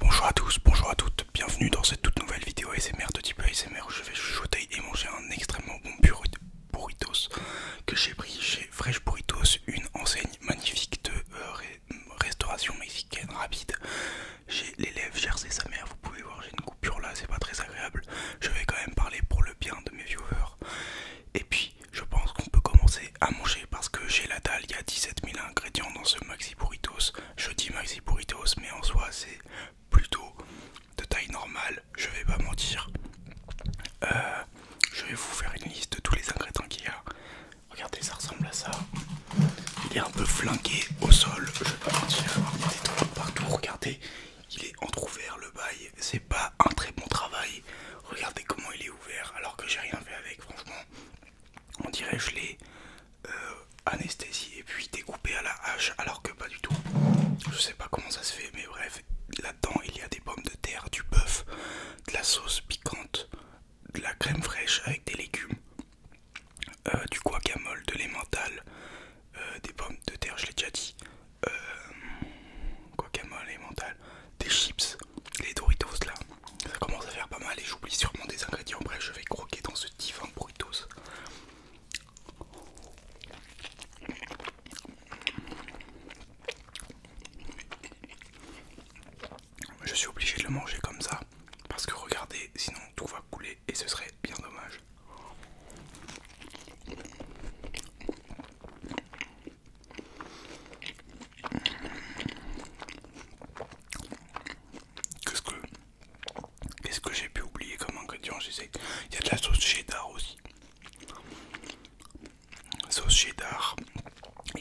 Bonjour à tous, bonjour à toutes, bienvenue dans cette toute nouvelle vidéo ASMR de type ASMR où je vais chuchoter et manger un extrêmement bon burritos que j'ai pris chez Fresh Burritos, une enseigne magnifique de euh, restauration mexicaine rapide. J'ai l'élève et sa mère, vous pouvez voir j'ai une coupure là, c'est pas très agréable, je vais quand même parler pour le bien de mes viewers. Et puis je pense qu'on peut commencer à manger parce que j'ai la dalle, il y a 17 000 ingrédients dans ce maxi burritos. Je dis maxi burritos, mais en soi c'est plutôt de taille normale, je vais pas mentir. Euh, je vais vous faire une liste de tous les ingrédients qu'il y a. Regardez, ça ressemble à ça. Il est un peu flingué au sol, je vais pas mentir. Il partout, regardez. Il est entrouvert le bail, c'est pas un très bon travail. Regardez comment il est ouvert alors que j'ai rien fait avec, franchement on dirait je l'ai euh, anesthésié puis découpé à la hache alors que pas du tout. Je sais pas comment ça se fait mais bref, là-dedans il y a des pommes de terre, du bœuf, de la sauce piquante, de la crème fraîche avec des légumes, euh, du guacamole, de l'emmental, euh, des pommes de terre, je l'ai déjà dit, guacamole, emmental, des chips, les Doritos là. Ça commence à faire pas mal et j'oublie sûrement des ingrédients. Bref, je vais croquer dans ce divin Doritos. Je suis obligé de le manger comme ça parce que regardez, sinon tout va couler et ce serait bien dommage. Qu'est-ce que qu'est-ce que j'ai pu oublier comme ingrédient J'essaie. Il y a de la sauce cheddar aussi. Sauce cheddar.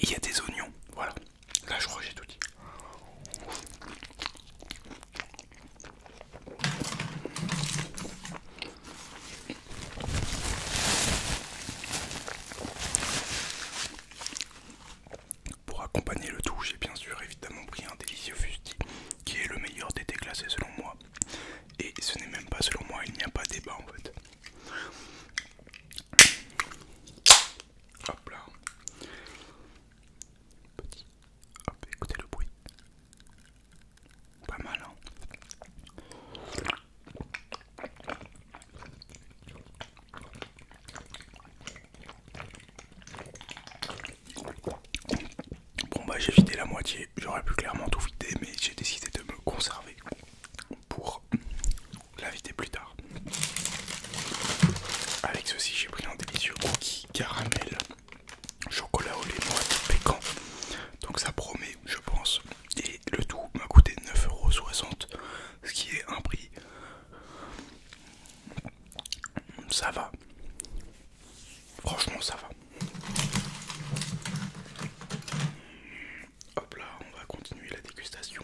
Il y a des oignons. Voilà. Là, je crois que j'ai tout dit. Pour accompagner le tout, j'ai bien sûr évidemment pris un délicieux fusti qui est le meilleur des déclassés selon moi. Et ce n'est même pas selon moi, il n'y a pas débat en fait. Hop là. Petit. Hop, écoutez le bruit. Pas mal, hein Bon bah j'ai vidé la moitié, j'aurais pu clairement tout vider mais j'ai décidé de me conserver pour la vider plus tard. Avec ceci j'ai pris un délicieux cookie caramel chocolat au lait et pécan. Donc ça promet, je pense. Et le tout m'a coûté 9,60€, ce qui est un prix. Ça va. Franchement, ça va. Hop là, on va continuer la dégustation.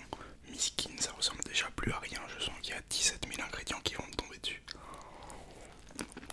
skin ça ressemble déjà plus à rien. Je sens qu'il y a 17 000 ingrédients qui vont me tomber dessus.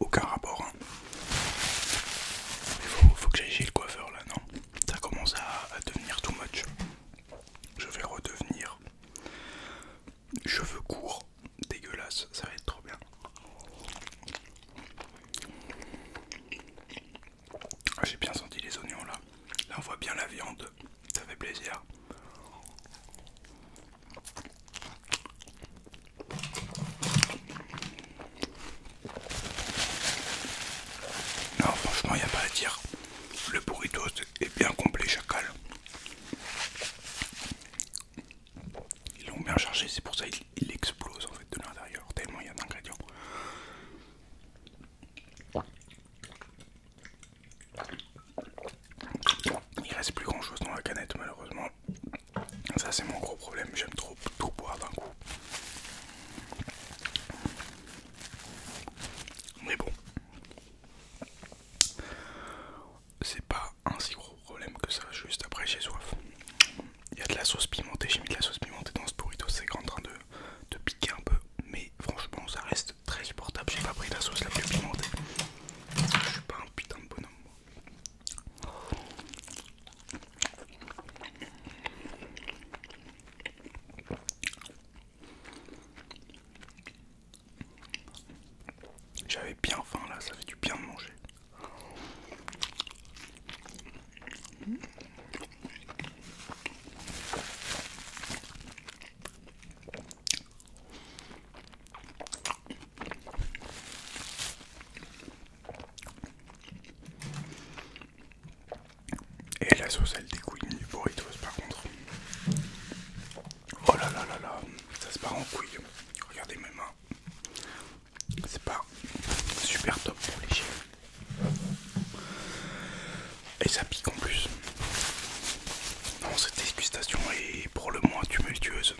Aucun rapport. Il hein. faut, que j'aille chez le coiffeur là, non Ça commence à, à devenir too much. Je vais redevenir cheveux courts, dégueulasse, ça va être trop bien. Ah, j'ai bien senti les oignons là. Là on voit bien la viande, ça fait plaisir. Non, franchement, il n'y a pas à dire. Le burrito est bien complet, chacal. Ils l'ont bien chargé, c'est pour ça qu'il explose en fait de l'intérieur, tellement il y a d'ingrédients. Il reste plus grand chose dans la canette malheureusement. Ça c'est mon gros problème, j'aime trop tout boire d'un coup. Mais bon, c'est pas un si gros problème que ça, juste après j'ai soif. Il y a de la sauce pimentée, j'ai mis de la sauce pimentée dans ce burrito, c'est en train de, de piquer un peu, mais franchement ça reste très supportable. J'ai pas pris la sauce la plus pimentée. je suis pas un putain de bonhomme. J'avais bien faim là, ça fait du bien de manger. Et la sauce elle découille du burritos par contre. Oh là là là là, ça se part en couille. Regardez mes mains. C'est pas super top pour les chiens. Et ça pique en plus. Non, cette dégustation est pour le moins tumultueuse.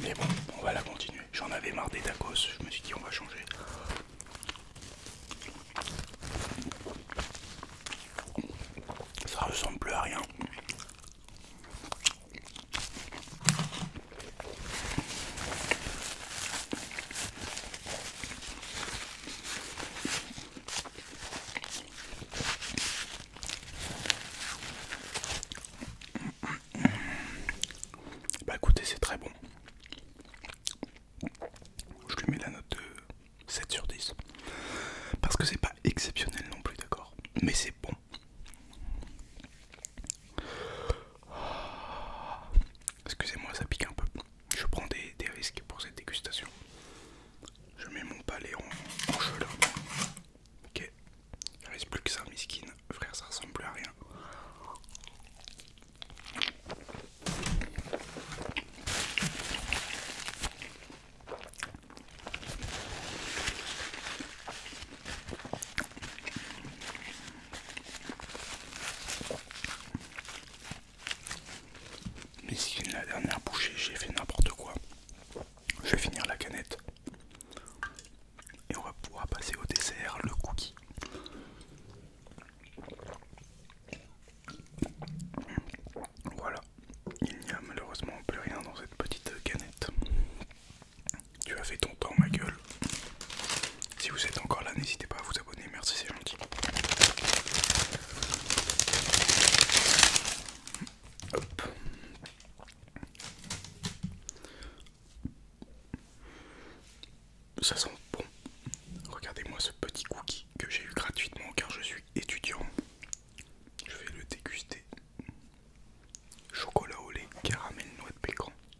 Mais bon, on va la continuer. J'en avais marre des tacos, je me suis dit on va changer. Ça ressemble plus à rien. Bah écoutez, c'est très bon. Je lui mets la note de 7 sur 10. Parce que c'est pas exceptionnel non plus, d'accord Mais c'est bon. Excusez-moi, ça pique un peu. Je prends des, risques pour cette dégustation. Je mets mon palais en, chaleur. là. Ok, il reste plus que ça, skins, Frère, ça ressemble plus à rien. Mais si la dernière bouchée j'ai fait n'importe quoi, je vais finir la canette et on va pouvoir passer au dessert, le cookie. Voilà, il n'y a malheureusement plus rien dans cette petite canette. Tu as fait ton temps, ma gueule. Si vous êtes encore là, n'hésitez pas à vous abonner. Merci, c'est gentil. Hop. Ça sent bon. Regardez-moi ce petit cookie que j'ai eu gratuitement car je suis étudiant. Je vais le déguster. Chocolat au lait, caramel, noix de pécan,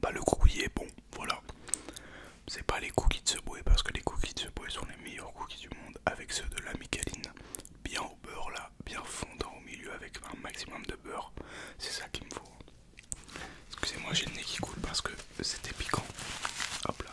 Pas le cookie est bon, voilà. C'est pas les cookies de ce Subway parce que les cookies de ce Subway sont les meilleurs cookies du monde avec ceux de la Micheline. Bien au beurre là, bien fondant au milieu avec un maximum de beurre. C'est ça qu'il me faut. Excusez-moi, j'ai le nez qui coule parce que c'était piquant. Hop là.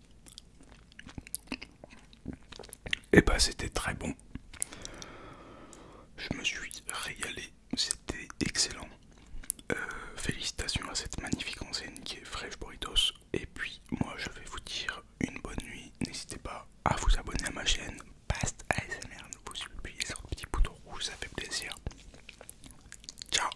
Et eh bah ben, c'était très bon. Je me suis régalé, c'était excellent. Euh, félicitations à cette magnifique enseigne qui est Fresh Burritos. Et puis moi je vais vous dire une bonne nuit. N'hésitez pas à vous abonner à ma chaîne. PASTE ASMR, vous appuyez sur le petit bouton rouge, ça fait plaisir. Ciao